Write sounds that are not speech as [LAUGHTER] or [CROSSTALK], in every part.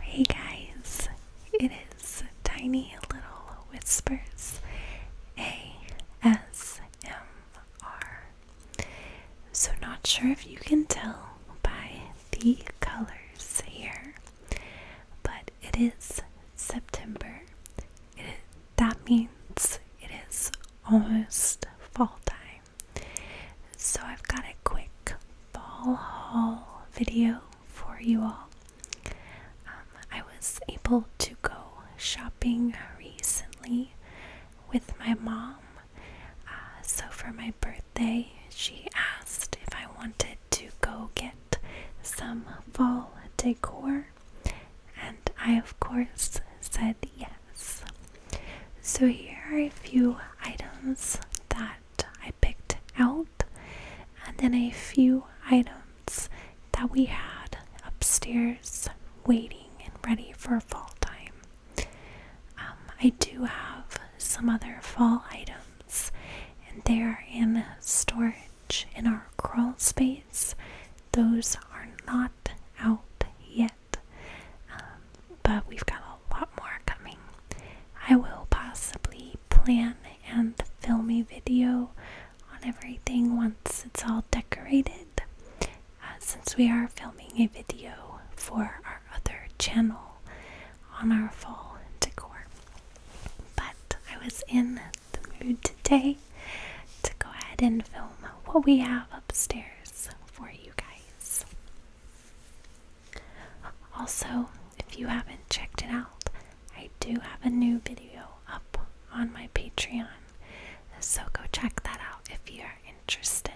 Hey guys, it is Tiny Little Whispers ASMR. So, not sure if you can tell by the colors here, but it is September. that means it is almost fall time. So I've got a quick fall haul video for you all. Um, I was able to go shopping recently with my mom. Uh, so for my birthday, she asked if I wanted to go get some fall decor, and I, of course, said yes. So, here are a few items that I picked out, and then a few items that we had upstairs waiting and ready for fall time. Um, I do have some other fall items, and they are in storage in our crawl space. Those are not out yet. Um, but we've got a lot more coming. I will possibly plan and film a video on everything once it's all decorated. Uh, since we are filming a video for our other channel on our fall decor. But I was in the mood today to go ahead and film what we have upstairs for you guys. Also, if you haven't checked it out, I do have a new video up on my Patreon, so go check that out if you're interested.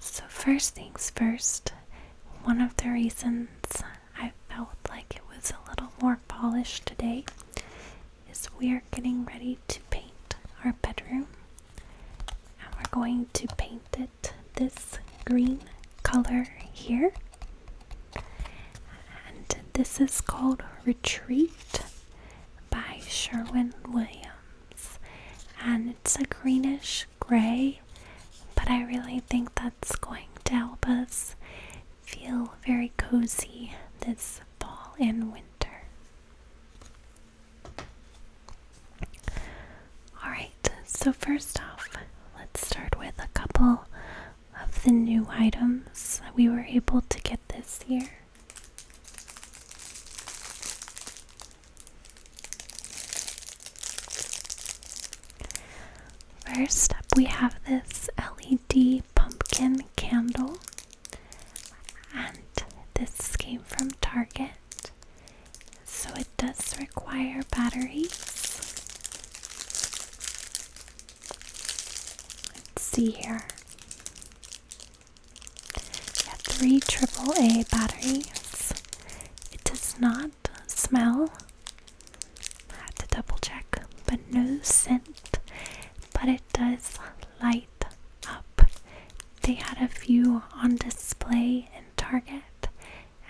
So, first things first, one of the reasons I felt like it was a little more polished today is we are getting ready to paint our bedroom. And we're going to paint it this green color here. And this is called Retreat by Sherwin Williams. And it's a greenish gray, but I really think that's going to help us feel very cozy this fall and winter. Alright, so first off, let's start with a couple of the new items that we were able to get this year. First up, we have this LED pumpkin candle, and this came from Target. So it does require batteries. Let's see here. We have three AAA batteries. It does not smell. I had to double check, but no scent. But it does light up. They had a few on display in Target,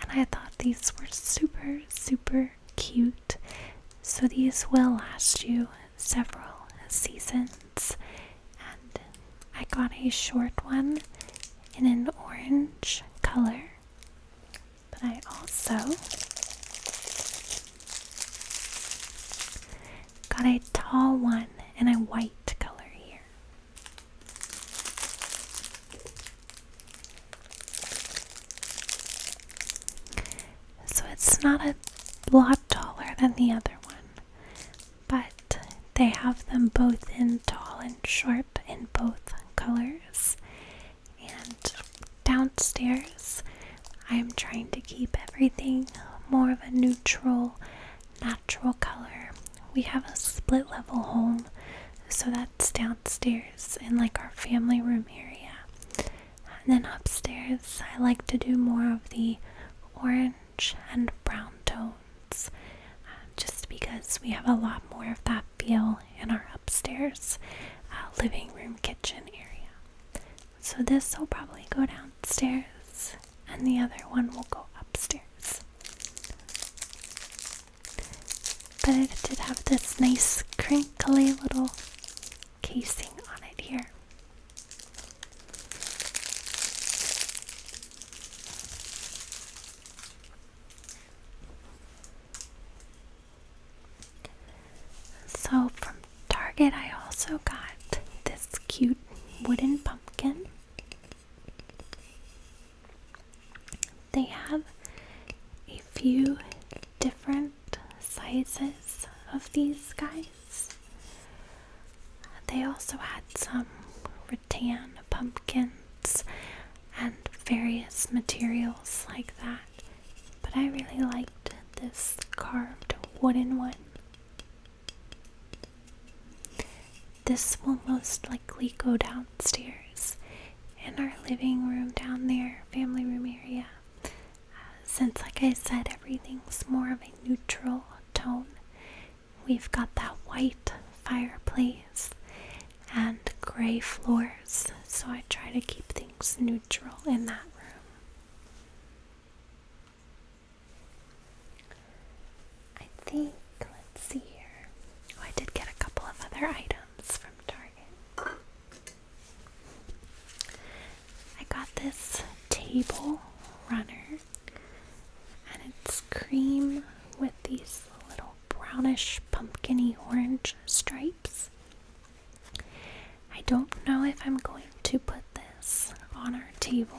and I thought these were super, super cute. So these will last you several seasons. And I got a short one in an orange color, but I also Got a tall one and a white color here. So it's not a lot taller than the other one, but they have them both in tall and short in both colors. And downstairs, I'm trying to keep everything more of a neutral natural color. We have a split level home, so that's downstairs in like our family room area. And then upstairs, I like to do more of the orange and brown tones uh, just because we have a lot more of that feel in our upstairs uh, living room kitchen area. So this will probably go downstairs and the other one will go upstairs. But it did have this nice crinkly little casing on it here. So, from Target, I also got this cute wooden pumpkin. They have a few different sizes of these guys. They also had some rattan pumpkins and various materials like that, but I really liked this carved wooden one. This will most likely go downstairs in our living room down there, family room area. Uh, since, like I said, everything's more of a neutral tone, we've got that white fireplace and gray floors, so I try to keep things neutral in that room. I think, let's see here. Oh, I did get a couple of other items from Target. I got this table runner, and it's cream with these little brownish pumpkiny orange stripes. I don't know if I'm going to put this on our table.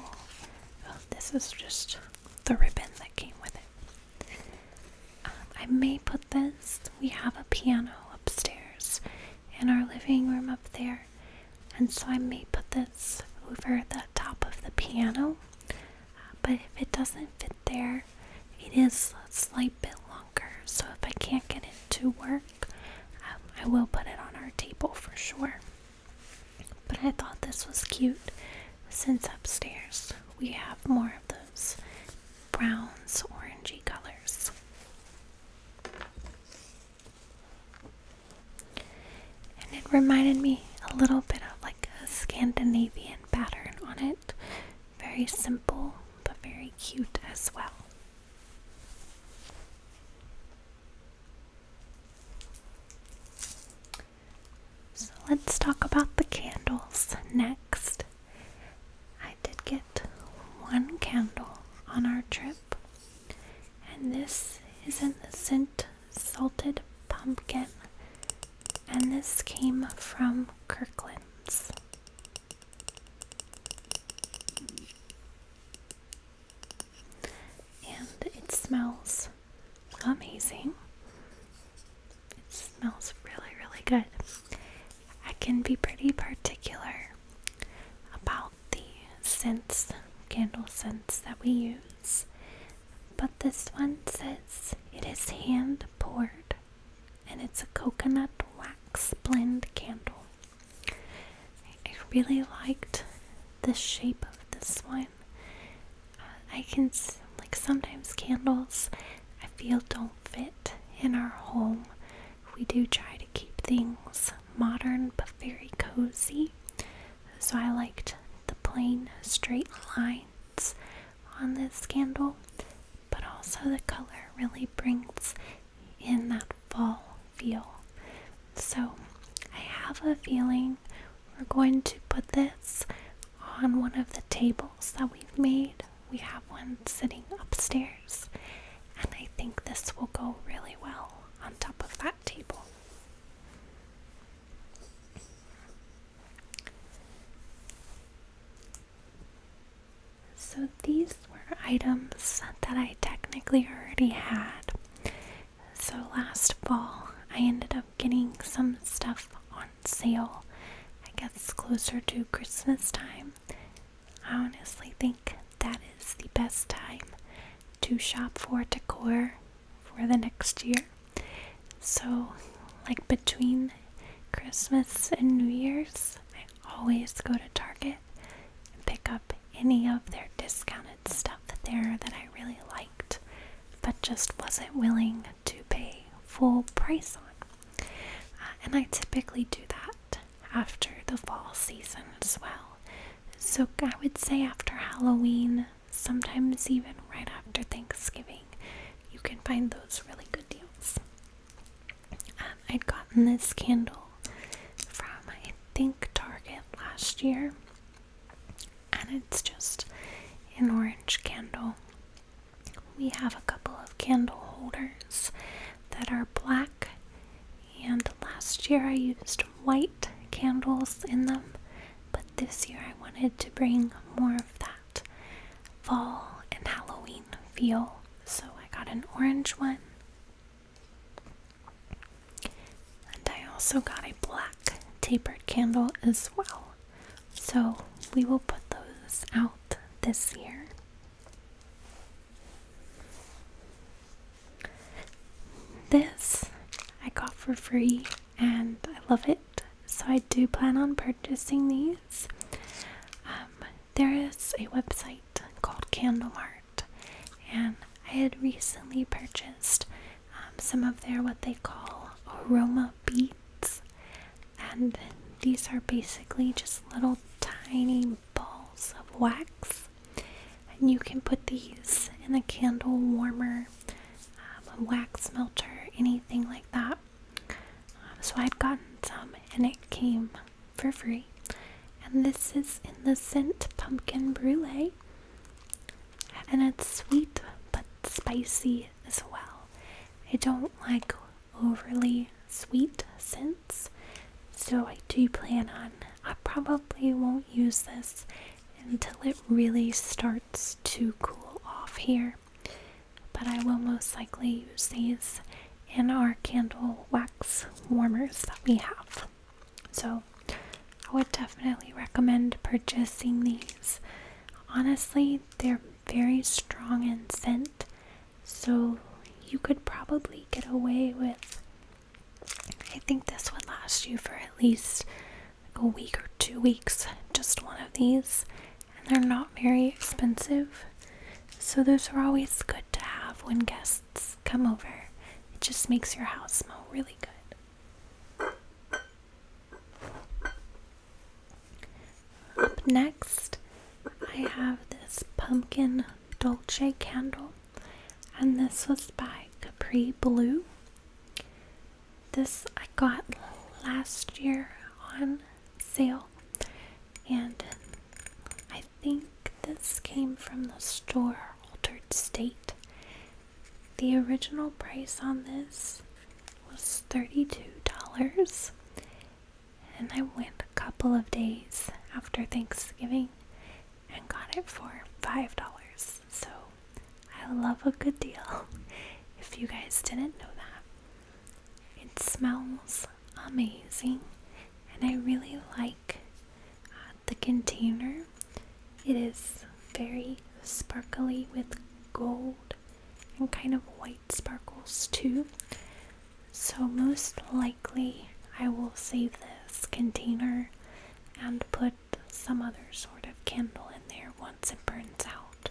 Oh, this is just the ribbon that came with it. Um, I may put this. We have a piano upstairs in our living room up there, and so I may put this over the top of the piano. but if it doesn't fit there, it is a slight bit longer. So if I can't get it to work, um, I will put it on our table for sure. But I thought this was cute since upstairs we have more of those browns, orangey colors. And it reminded me a little bit of like a Scandinavian pattern on it. Very simple, but very cute as well. So let's talk about the candles next. I did get one candle on our trip, and this is in the scent Salted Pumpkin, and this came from Kirkland's and it smells amazing. It smells really, really good. I can be pretty particular about the scents, candle scents that we use, but this one says it is hand poured and it's a coconut wax blend candle. I, really liked the shape of this one. Uh, I can, like, sometimes candles I feel don't fit in our home. We do try to keep things modern but very cozy. So I liked the plain straight lines on this candle, but also the color really brings in that fall feel. So I have a feeling we're going to put this on one of the tables that we've made. We have one sitting upstairs, and I think this will go really well on top of that table. So these were items that I technically already had. So last fall, I ended up getting some stuff on sale. I guess closer to Christmas time. I honestly think that is the best time to shop for decor for the next year. So, like between Christmas and New Year's, I always go to Target pick up any of their discounted stuff there that I really liked but just wasn't willing to pay full price on. Uh, and I typically do that after the fall season as well. So I would say after Halloween, sometimes even right after Thanksgiving, you can find those really good deals. Um, I'd gotten this candle from I think Target last year, and it's just an orange candle. We have a couple of candle holders that are black, and last year I used white candles in them, but this year I wanted to bring more of that fall and Halloween feel, so I got an orange one and I also got a black tapered candle as well. So we will put those out this year. This I got for free and I love it. So I do plan on purchasing these. Um, there is a website called Candle Art, and I had recently purchased um, some of their what they call aroma beads, and these are basically just little tiny balls of wax, and you can put these in a candle warmer, a um, wax melter, anything like that. Um, so I'd gotten some, and it came for free. And this is in the scent pumpkin brulee. And it's sweet but spicy as well. I don't like overly sweet scents, so I do plan on. I probably won't use this until it really starts to cool off here. But I will most likely use these in our candle wax warmers that we have. So I would definitely recommend purchasing these. Honestly, they're very strong in scent, so you could probably get away with. I think this would last you for at least a week or two weeks, just one of these. And they're not very expensive. So those are always good to have when guests come over. It just makes your house smell really good. Up next, I have this pumpkin dulce candle, and this was by Capri Blue. This I got last year on sale, and I think this came from the store Altered State. The original price on this was $32, and I went a couple of days after Thanksgiving and got it for $5. So I love a good deal [LAUGHS] if you guys didn't know that. It smells amazing and I really like uh, the container. It is very sparkly with gold and kind of white sparkles too. So, most likely, I will save this container and put some other sort of candle in there once it burns out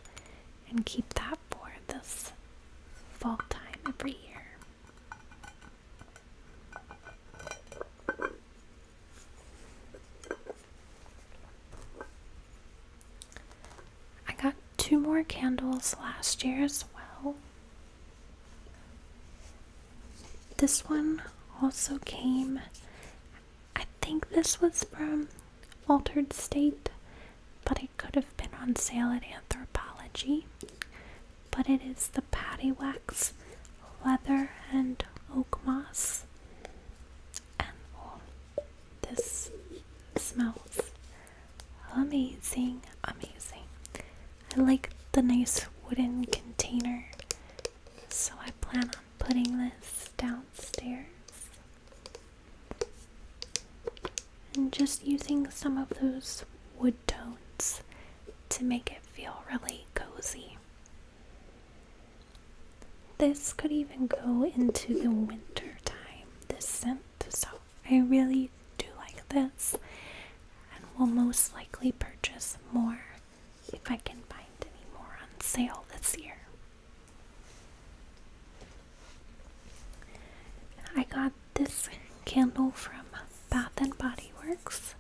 and keep that for this fall time every year. I got two more candles last year as well. This one also came, I think this was from Altered State, but it could have been on sale at Anthropology. But it is the Patty Wax Leather and Oak Moss. And oh, this smells amazing, amazing. I like the nice wooden container, so I plan on putting this downstairs. And just using some of those wood tones to make it feel really cozy. This could even go into the winter time, this scent, so I really do like this and will most likely purchase more if I can find any more on sale this year. I got this candle from Bath and Body Works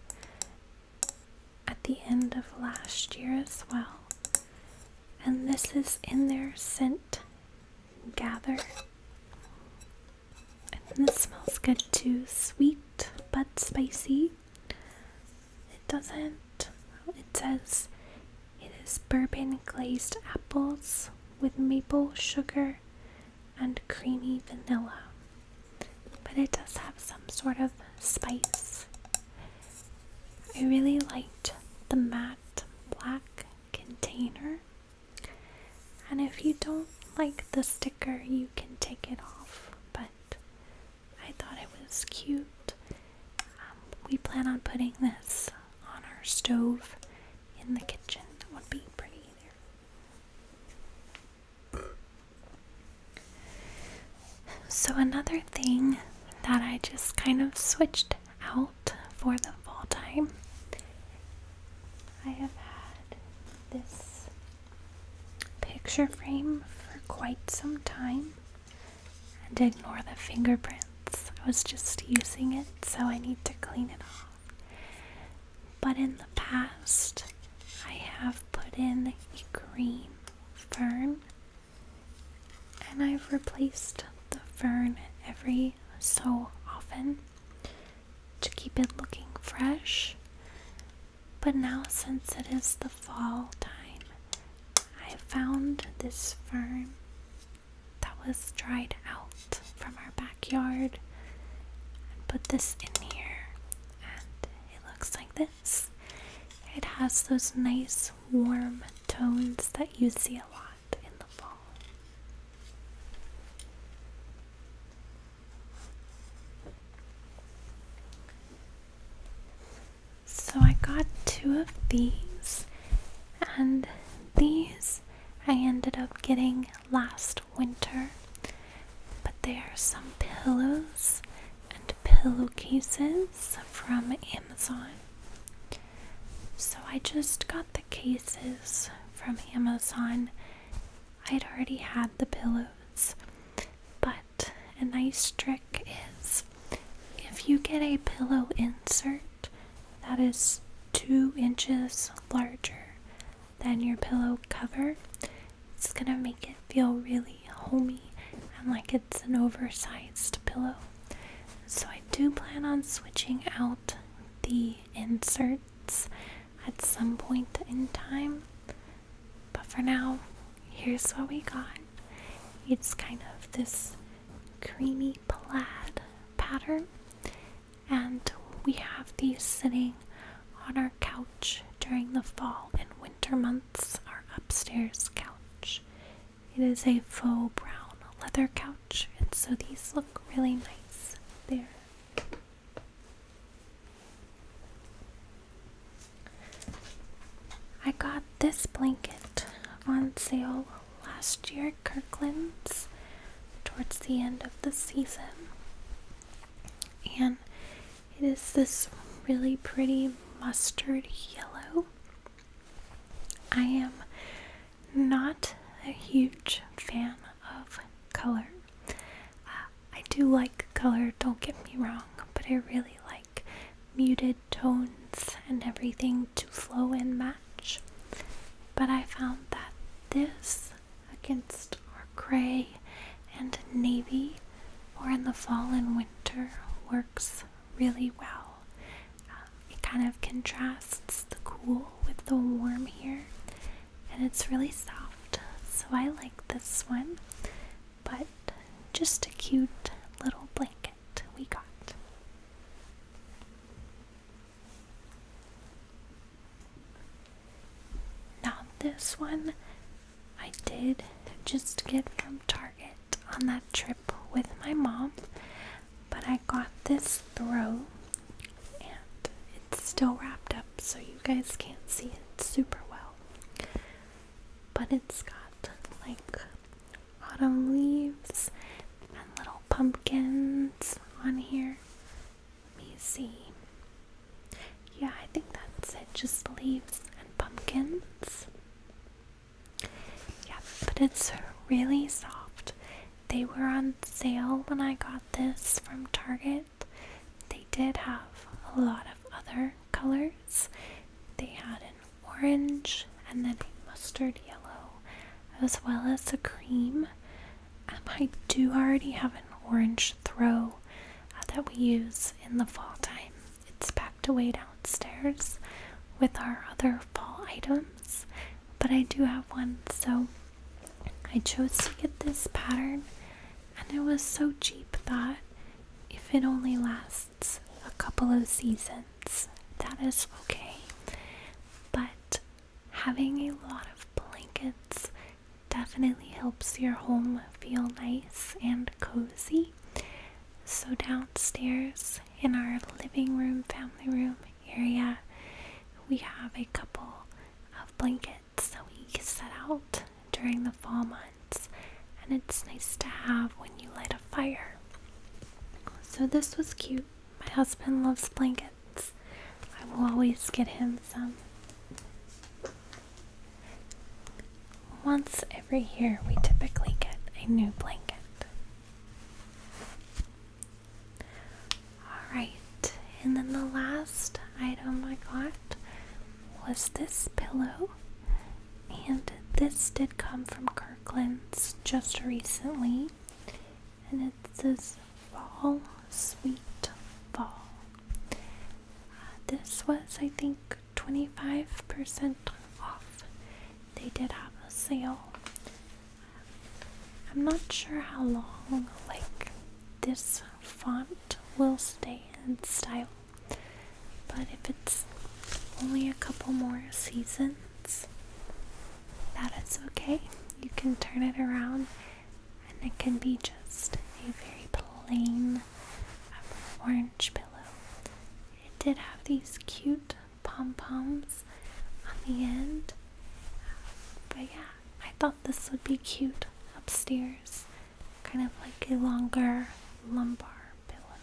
at the end of last year as well. And this is in their scent gather. this smells good too. Sweet but spicy. It doesn't. It says it is bourbon glazed apples with maple sugar and creamy vanilla, but it does have some sort of spice. I really liked the matte black container, and if you don't like the sticker, you can take it off, but I thought it was cute. Um, we plan on putting this on our stove in the kitchen. That would be pretty there. So, another thing that I just kind of switched out for the fall time, I have had this picture frame for quite some time. And ignore the fingerprints. I was just using it, so I need to clean it off. But in the past, I have put in a green fern and I've replaced the fern every so often to keep it looking fresh. But now, since it is the fall time, I found this fern that was dried out from our backyard and put this in here and it looks like this it has those nice warm tones that you see a lot in the fall so I got two of these and these I ended up getting last winter. But there are some pillows and pillowcases from Amazon. So I just got the cases from Amazon. I'd already had the pillows. But a nice trick is if you get a pillow insert that is two inches larger than your pillow cover. It's gonna make it feel really homey and like it's an oversized pillow. So, I do plan on switching out the inserts at some point in time, but for now, here's what we got it's kind of this creamy plaid pattern, and we have these sitting on our couch during the fall and winter months. Our upstairs couch. It is a faux brown leather couch, and so these look really nice there. I got this blanket on sale last year, Kirkland's, towards the end of the season. And it is this really pretty mustard yellow. I am not a huge fan of color. Uh, I do like color, don't get me wrong, but I really like muted tones and everything to flow and match. But I found that this against our gray and navy or in the fall and winter works really well. Um, it kind of contrasts the cool with the warm here and it's really soft. So I like this one, but just a cute little blanket ticket we got. Now, this one I did just get from Target on that trip with my mom, but I got this throw and it's still wrapped up so you guys can't see it super well. But it's got like autumn leaves and little pumpkins on here. Let me see. Yeah, I think that's it. Just leaves and pumpkins. Yeah, but it's really soft. They were on sale when I got this from Target. They did have a lot of other colors. They had an orange and then a mustard yellow, as well as a cream. Um, I do already have an orange throw uh, that we use in the fall time. It's packed away downstairs with our other fall items, but I do have one, so I chose to get this pattern, and it was so cheap that if it only lasts a couple of seasons, that is okay. But having a lot of blankets definitely helps your home feel nice and cozy. So, downstairs in our living room, family room area, we have a couple of blankets that we set out during the fall months, and it's nice to have when you light a fire. So this was cute. My husband loves blankets. I will always get him some. Once every year, we typically get a new blanket. Alright, and then the last item I got was this pillow. And this did come from Kirkland's just recently. And it says Fall, Sweet Fall. Uh, this was, I think, 25% off. They did have a sale. I'm not sure how long, like, this font will stay in style. But if it's only a couple more seasons, that is okay. You can turn it around and it can be just a very plain orange pillow. It did have these cute pom poms on the end, but yeah, I thought this would be cute upstairs, kind of like a longer lumbar pillow.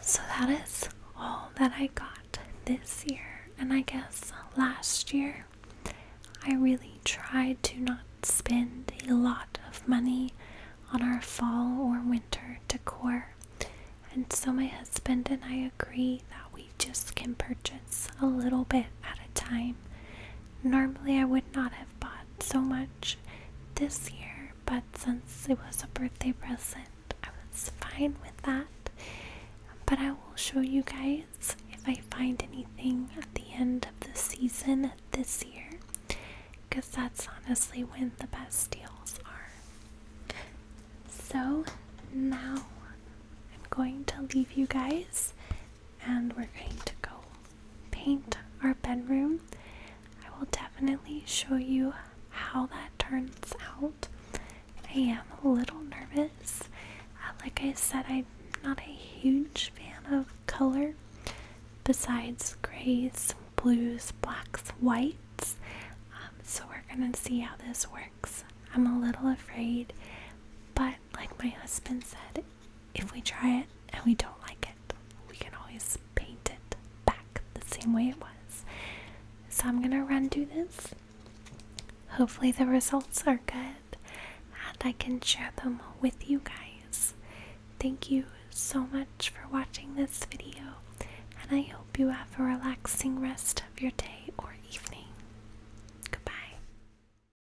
So that is all that I got this year, and I guess last year I really tried to not spend a lot of money on our fall or winter decor. And so my husband and I agree that we just can purchase a little bit at a time Normally, I would not have bought so much this year, but since it was a birthday present, I was fine with that. But I will show you guys if I find anything at the end of the season this year, because that's honestly when the best deals are. So now I'm going to leave you guys and we're going to go paint our bedroom. I will definitely show you how that turns out. I am a little nervous. Uh, like I said, I'm not a huge fan of color besides grays, blues, blacks, whites. Um, so we're gonna see how this works. I'm a little afraid, but like my husband said, if we try it and we don't like it, we can always paint it back the same way it was. So I'm gonna run through this. Hopefully, the results are good and I can share them with you guys. Thank you so much for watching this video, and I hope you have a relaxing rest of your day or evening. Goodbye.